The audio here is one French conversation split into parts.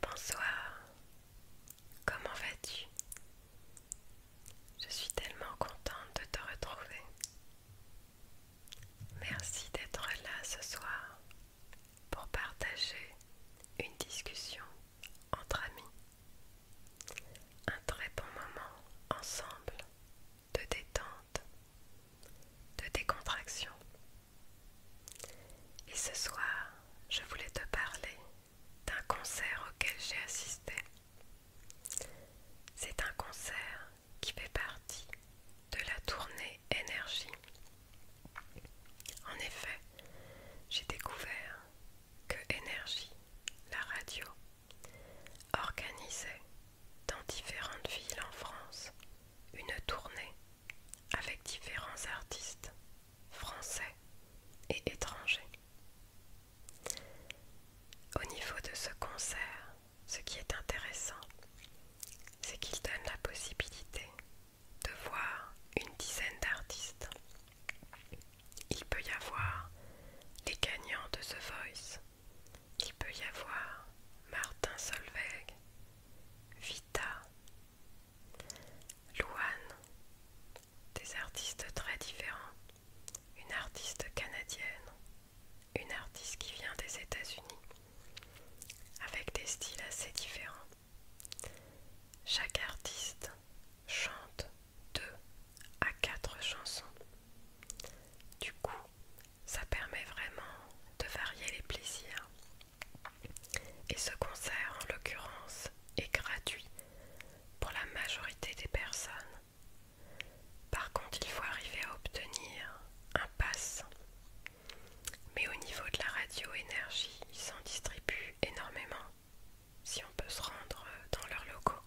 Bonsoir, comment vas-tu Je suis tellement contente de te retrouver. Merci d'être là ce soir pour partager une discussion entre amis. Un très bon moment ensemble de détente, de décontraction et ce soir, je voulais te parler d'un concert auquel j'ai assisté. C'est un concert qui fait partie de la tournée Énergie. En effet, j'ai découvert que Énergie, la radio, organisait dans différentes villes en France une tournée avec différents artistes français et étrangers. Au niveau de ce concert, ce qui est intéressant, c'est qu'il donne la possibilité de voir une dizaine d'artistes. Il peut y avoir les gagnants de The Voice, il peut y avoir Martin Solveig, Vita, Louane, des artistes très différents, une artiste canadienne, une artiste qui vient des États-Unis, avec des styles assez différents. Chaque artiste chante deux à quatre chansons. Du coup, ça permet vraiment de varier les plaisirs et ce concert, en l'occurrence, est gratuit pour la majorité des personnes. Par contre, il faut arriver à obtenir un pass. Mais au niveau de la radio énergie, ils s'en distribuent énormément si on peut se rendre dans leurs locaux.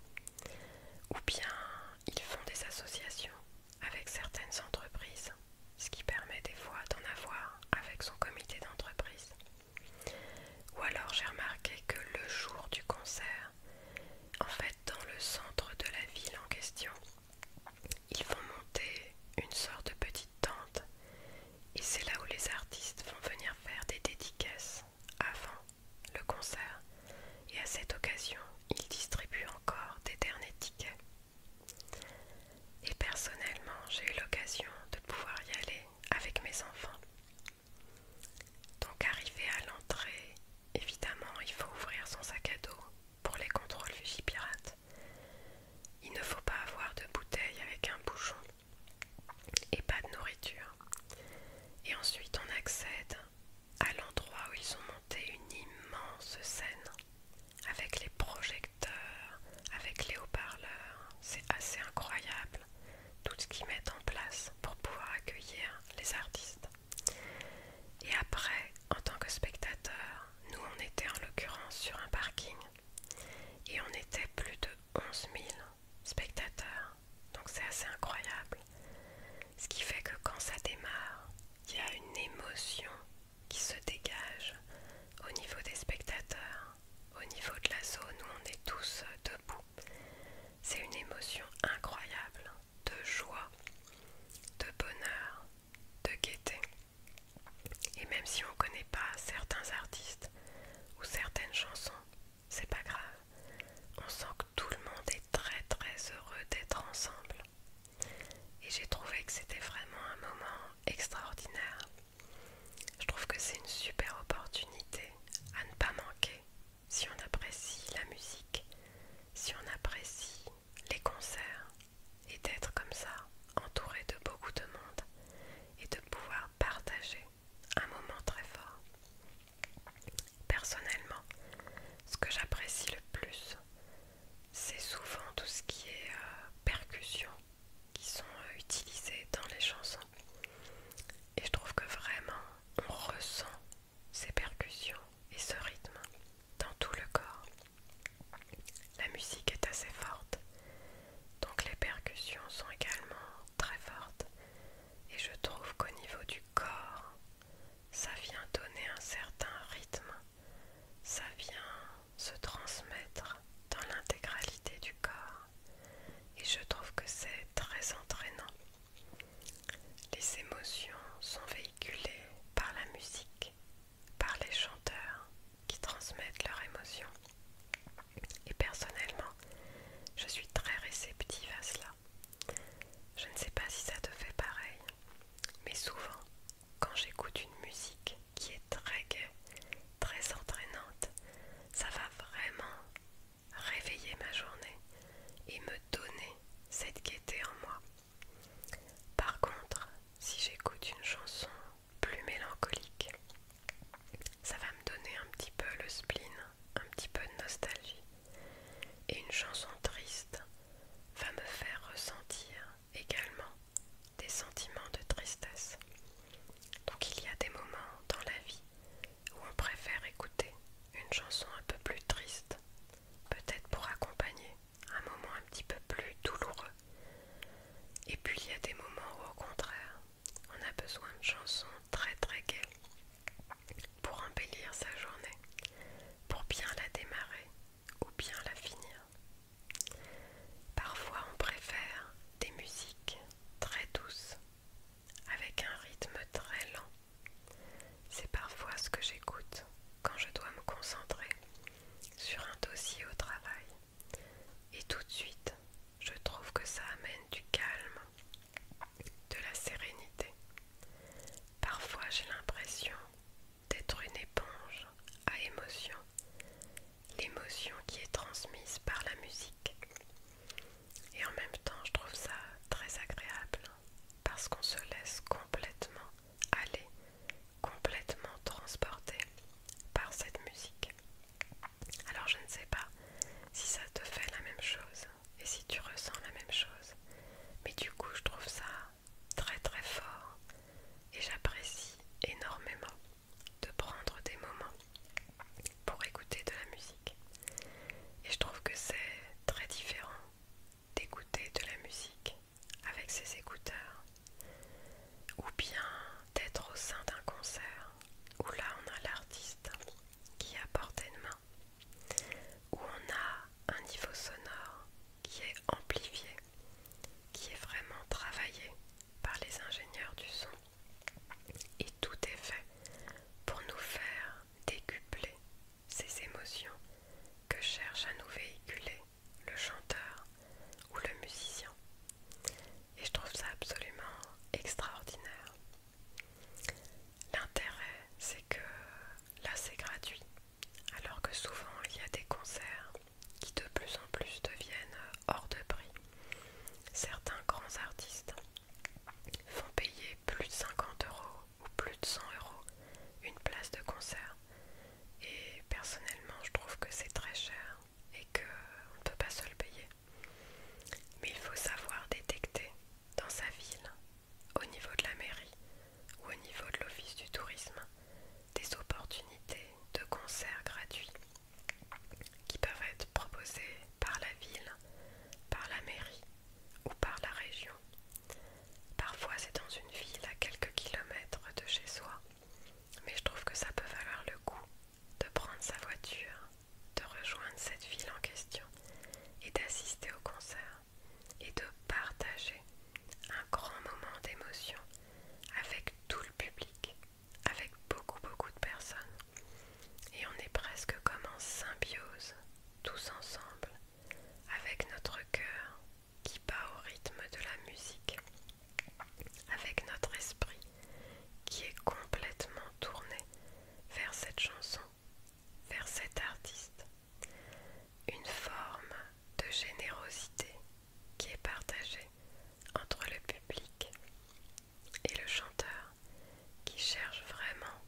Ou bien ils font des associations avec certaines entreprises ce qui permet des fois d'en avoir avec son comité d'entreprise. Ou alors j'ai remarqué que le jour du concert, en fait dans le centre de la ville en question, ils vont monter une sorte de petite tente et c'est là où les artistes vont venir faire des dédicaces avant le concert. Et à cette occasion, ils distribuent encore des derniers tickets. Et personnellement, j'ai eu l'occasion de pouvoir y aller avec mes enfants. Donc arrivé à l'entrée, évidemment, il faut ouvrir son sac à dos pour les contrôles pirates. Il ne faut pas avoir de bouteille avec un bouchon et pas de nourriture. Et ensuite, on accède à l'endroit où ils ont monté une immense scène avec les projecteurs avec les haut-parleurs, c'est assez incroyable tout ce qu'ils mettent en place pour pouvoir accueillir les artistes. Et après, en tant que spectateur, nous on était en l'occurrence sur un parking et on était plus de 11 000 spectateurs, donc c'est assez incroyable. Ce qui fait que quand ça démarre, il y a une émotion qui se dégage au niveau des spectateurs, au niveau de la zone où on est tous debout. C'est une émotion incroyable de joie, de bonheur, de gaieté. Et même si on ne connaît pas certains artistes ou certaines chansons, c'est pas grave. On sent que tout le monde est très très heureux d'être ensemble. Et j'ai trouvé que c'était vraiment un moment extraordinaire. Je trouve que c'est une super opportunité à ne pas manquer si on apprécie la musique, si on apprécie les concerts et d'être comme ça entouré de beaucoup de monde et de pouvoir partager un moment très fort. Personnellement, ce que j'apprécie le plus, c'est souvent tout ce qui est euh, percussion, qui sont euh, utilisés dans les chansons. Et je trouve que vraiment, on ressent ces percussions et ce rythme dans tout le corps. La musique est assez forte, donc les percussions sont également très fortes. Et je trouve qu'au niveau du corps, ça vient donner un certain rythme, ça vient se transmettre dans l'intégralité du corps et je trouve que c'est très entraînant. Les émotions sont véhiculées par la musique, par les chanteurs qui transmettent leurs émotions. Et personnellement, je suis très réceptive à cela. Je ne sais pas si ça te fait pareil, mais souvent, quand j'écoute une musique, qui est très gai, très entraînante. Ça va vraiment réveiller ma journée et me donner cette gaieté en moi. Par contre, si j'écoute une chanson plus mélancolique, ça va me donner un petit peu le spleen, un petit peu de nostalgie. Et une chanson triste va me faire ressentir également des sentiments de tristesse. Donc il y a des moments dans la vie où on préfère écouter une chanson un peu plus triste, peut-être pour accompagner un moment un petit peu plus douloureux. Et puis il y a des moments où au contraire, on a besoin de chansons très très gaies pour embellir sa journée, pour bien la démarrer ou bien la finir. Parfois on préfère des musiques très douces, avec un rythme très lent. C'est parfois ce que j'écoute quand je dois me concentrer sur un dossier au travail. Et tout de suite, je trouve que ça amène du calme, de la sérénité. Parfois j'ai l'impression d'être une éponge à émotion l'émotion qui est transmise par la musique. Et en même temps, je trouve ça très agréable parce qu'on se laisse complètement aller, complètement transporter par cette musique. Alors je ne sais pas si ça te fait la même chose et si tu ressens la même chose, mais du coup je trouve ça très très fort et j'apprécie énormément de prendre des moments pour écouter de la musique. Et je trouve que c'est très différent d'écouter de la musique avec ses écouteurs ou bien d'être au sein d'un concert où là on a l'artiste qui est à portée de main, où on a un niveau sonore qui est amplifié qui est vraiment travaillé par les ingénieurs du son. Et tout est fait pour nous faire décupler ces émotions que cherche à nous véhiculer le chanteur ou le musicien. Et je trouve ça absolument extraordinaire. L'intérêt, c'est que là, c'est gratuit. Alors que souvent, il y a des concerts qui de plus en plus deviennent euh, hors de prix. Certains grands artistes font payer plus de 50 euros ou plus de 100 euros une place de concert. Et personnellement, je trouve que c'est très cher et qu'on euh, ne peut pas se le payer. Mais il faut savoir détecter dans sa ville, au niveau de la mairie ou au niveau de l'office du tourisme, des opportunités de concerts gratuits qui peuvent être proposés par la ville, par la mairie ou par la région. Parfois c'est dans une ville à quelques kilomètres de chez soi, mais je trouve que ça peut valoir le coup de prendre sa voiture, de rejoindre cette ville en question et d'assister au concert et de partager un grand moment d'émotion avec tout le public avec beaucoup beaucoup de personnes. Et on est presque comme en symbiose, tous ensemble, avec notre cœur qui bat au rythme de la musique, avec notre esprit qui est complètement tourné vers cette chanson, vers cet artiste. Une forme de générosité qui est partagé entre le public et le chanteur qui cherche vraiment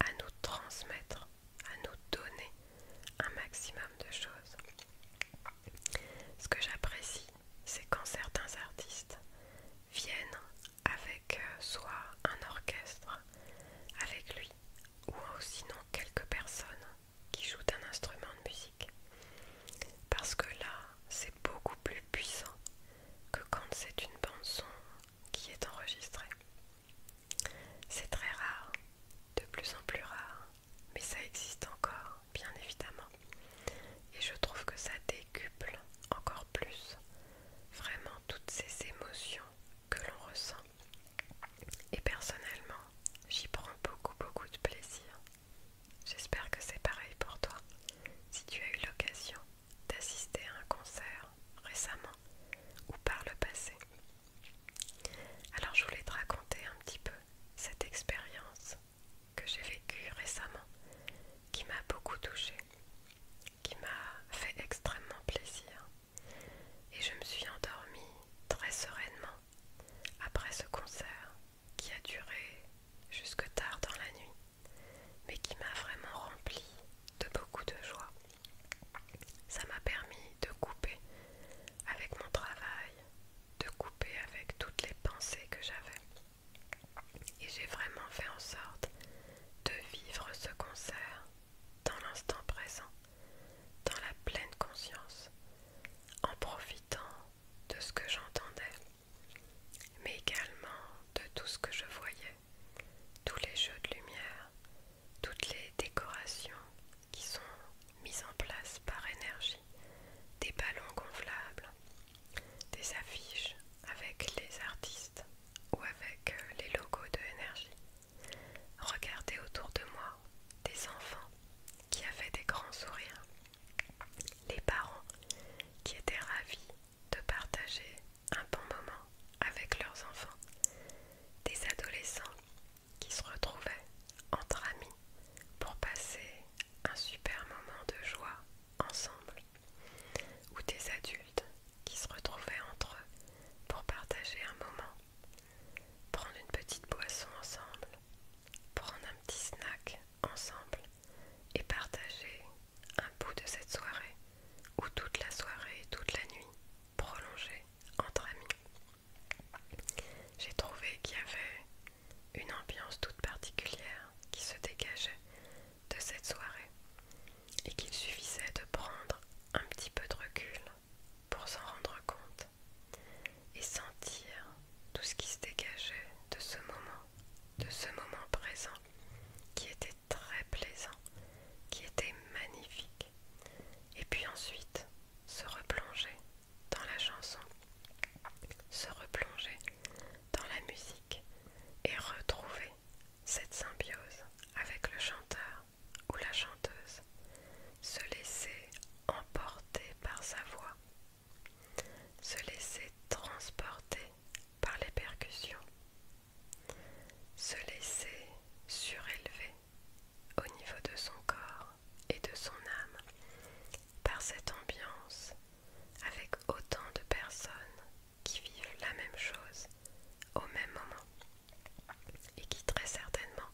à nous transmettre, à nous donner un maximum de choses. Ce que j'apprécie, c'est quand certains artistes viennent avec euh, soit un orchestre avec lui ou sinon quelques personnes qui jouent un instrument de musique parce que là, c'est beaucoup plus puissant que quand c'est une bande son qui est enregistrée. C'est très rare, de plus en plus rare, mais ça existe encore, bien évidemment. Et je trouve que ça décuple encore plus vraiment toutes ces émotions que l'on ressent. Et personnellement, j'y prends beaucoup beaucoup de plaisir. J'espère que c'est pareil pour toi. Si tu as eu l'occasion d'assister à un concert récemment ou par le passé. Alors je voulais te raconter un petit peu cette expérience que j'ai vécue récemment, qui m'a beaucoup touchée, qui m'a fait extrêmement plaisir. Et je me suis endormie très sereinement après ce concert qui a duré jusque tard dans la nuit, mais qui m'a vraiment rempli de beaucoup de joie. Ça m'a permis de couper avec mon travail, de couper avec toutes les pensées que j'avais. Et j'ai vraiment fait en sorte de vivre ce concert dans l'instant présent, dans la pleine conscience, en profitant de ce que j'entendais, mais également de tout ce que je voyais, tous les jeux de lumière, toutes les décorations qui sont mises en place par énergie, des ballons gonflables, des affiches avec les artistes ou avec euh, les logos de énergie. Regardez autour de moi des enfants qui avaient des grands sourires les parents qui étaient ravis de partager un bon moment avec leurs enfants, des adolescents qui se retrouvaient entre amis pour passer un super moment de joie ensemble, ou des adultes qui se retrouvaient entre eux pour partager un moment, prendre une petite boisson ensemble prendre un petit snack ensemble et partager un bout de cette soirée ou toute la soirée, toute la nuit prolongée entre amis. J'ai trouvé qu'il y avait une ambiance toute particulière qui se dégageait de cette soirée et qu'il suffisait de prendre un petit peu de recul pour s'en rendre compte et sentir tout ce qui se dégageait de ce moment, de ce moment présent, qui était très plaisant, qui était magnifique. Et puis ensuite, se replonger dans la chanson, se replonger dans la musique et retrouver cette symbiose avec le chanteur ou la chanteuse, se laisser emporter par sa voix, se laisser transporter par les percussions, se laisser surélever au niveau de son corps et de son âme par cette ambiance avec autant de personnes qui vivent la même chose au même moment et qui très certainement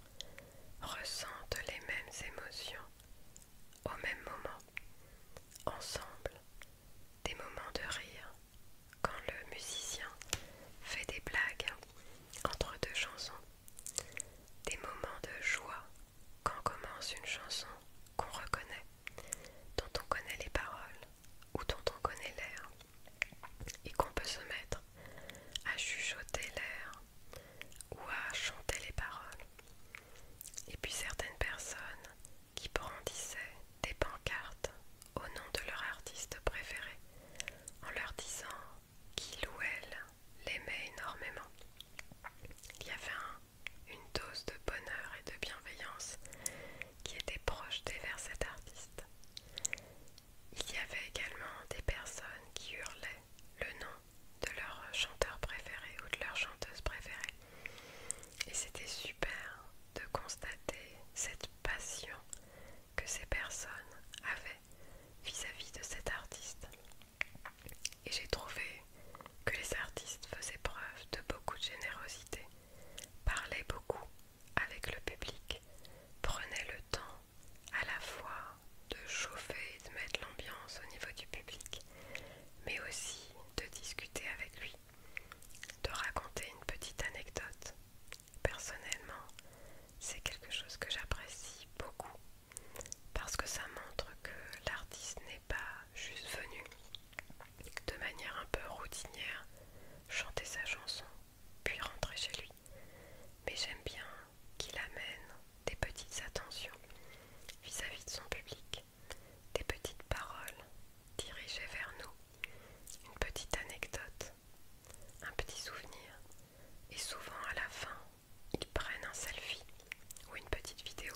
ressentent les mêmes émotions au même moment, ensemble, des moments de rire, quand le musicien fait des blagues entre deux chansons, des moments de joie, quand commence une chanson qu'on reconnaît, dont on connaît les paroles ou dont on connaît l'air, et qu'on peut se mettre à chuchoter l'air ou à chanter les paroles. Et puis certaines personnes qui brandissaient des pancartes au nom de leur artiste préféré en leur disant qu'il ou elle l'aimait énormément. Il y avait une dose de bonheur et de bienveillance qui était projetée vers cet artiste. Il y avait également des personnes qui hurlaient le nom de leur chanteur préféré ou de leur chanteuse préférée. Et c'était super de constater cette passion que ces personnes avaient vis-à-vis de cet artiste. Et j'ai trouvé que les artistes faisaient preuve de beaucoup de générosité, parlaient beaucoup avec le public, prenaient le temps à la fois de chauffer et de mettre l'ambiance au niveau du public, mais aussi de discuter avec lui, de raconter une petite anecdote. Personnellement, c'est quelque chose que j'apprécie beaucoup parce que ça montre que l'artiste n'est pas juste venu de manière un peu routinière chanter sa chanson puis rentrer chez lui. Mais j'aime bien qu'il amène des petites attentions vis-à-vis de son public, des petites paroles dirigées vers nous, une petite anecdote, un petit souvenir, et souvent à la fin, ils prennent un selfie ou une petite vidéo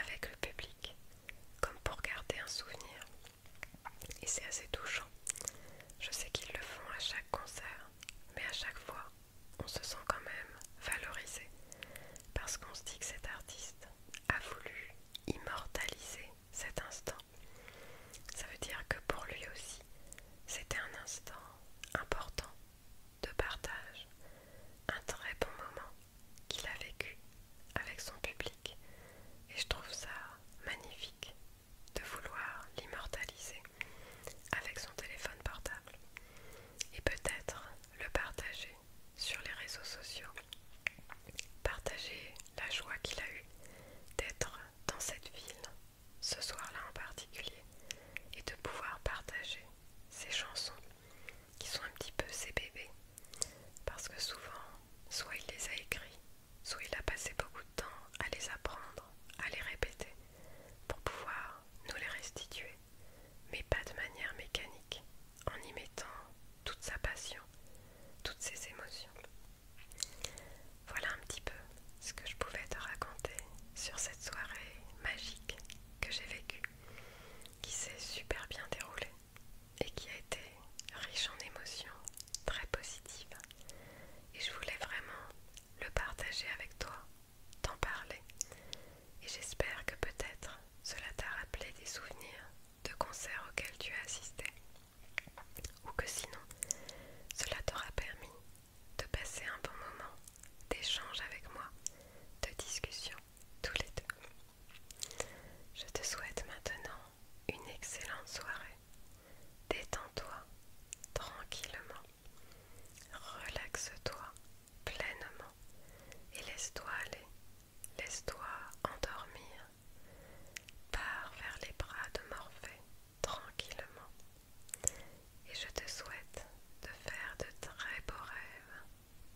avec le public, comme pour garder un souvenir. Et c'est assez touchant. Je sais qu'ils le font à chaque concert, mais à chaque fois, on se sent quand même valorisé parce qu'on se dit que cet artiste a voulu immortaliser cet instant. Ça veut dire que pour lui aussi, c'était un instant important de partage, un très bon moment qu'il a vécu avec son public. Et je trouve ça magnifique de vouloir l'immortaliser avec son téléphone portable. Et peut-être le partager sur les réseaux sociaux, partager la joie qu'il a eue d'être dans cette ville, ce soir-là en particulier, et de pouvoir partager ces chansons qui sont un petit peu ses bébés, parce que souvent, soit il les a écrits, soit il a passé beaucoup de temps à les apprendre, à les répéter, pour pouvoir nous les restituer mais pas de manière mécanique, en y mettant toute sa passion, toutes ses émotions. Voilà un petit peu ce que je pouvais te raconter sur cette soirée magique que j'ai vécue, qui s'est super bien déroulée et qui a été riche en émotions, très positives. Et je voulais vraiment le partager avec toi t'en parler et j'espère que peut-être cela t'a rappelé des souvenirs de concerts auxquels tu as assisté ou que sinon cela t'aura permis de passer un bon moment d'échange avec moi, de discussion tous les deux. Je te souhaite maintenant une excellente soirée. Détends-toi tranquillement. Relaxe-toi pleinement et laisse-toi aller, laisse-toi endormir. Pars vers les bras de Morphée tranquillement et je te souhaite de faire de très beaux rêves,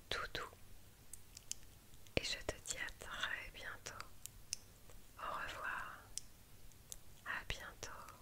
tout doux. Et je te dis à très bientôt. Au revoir. À bientôt.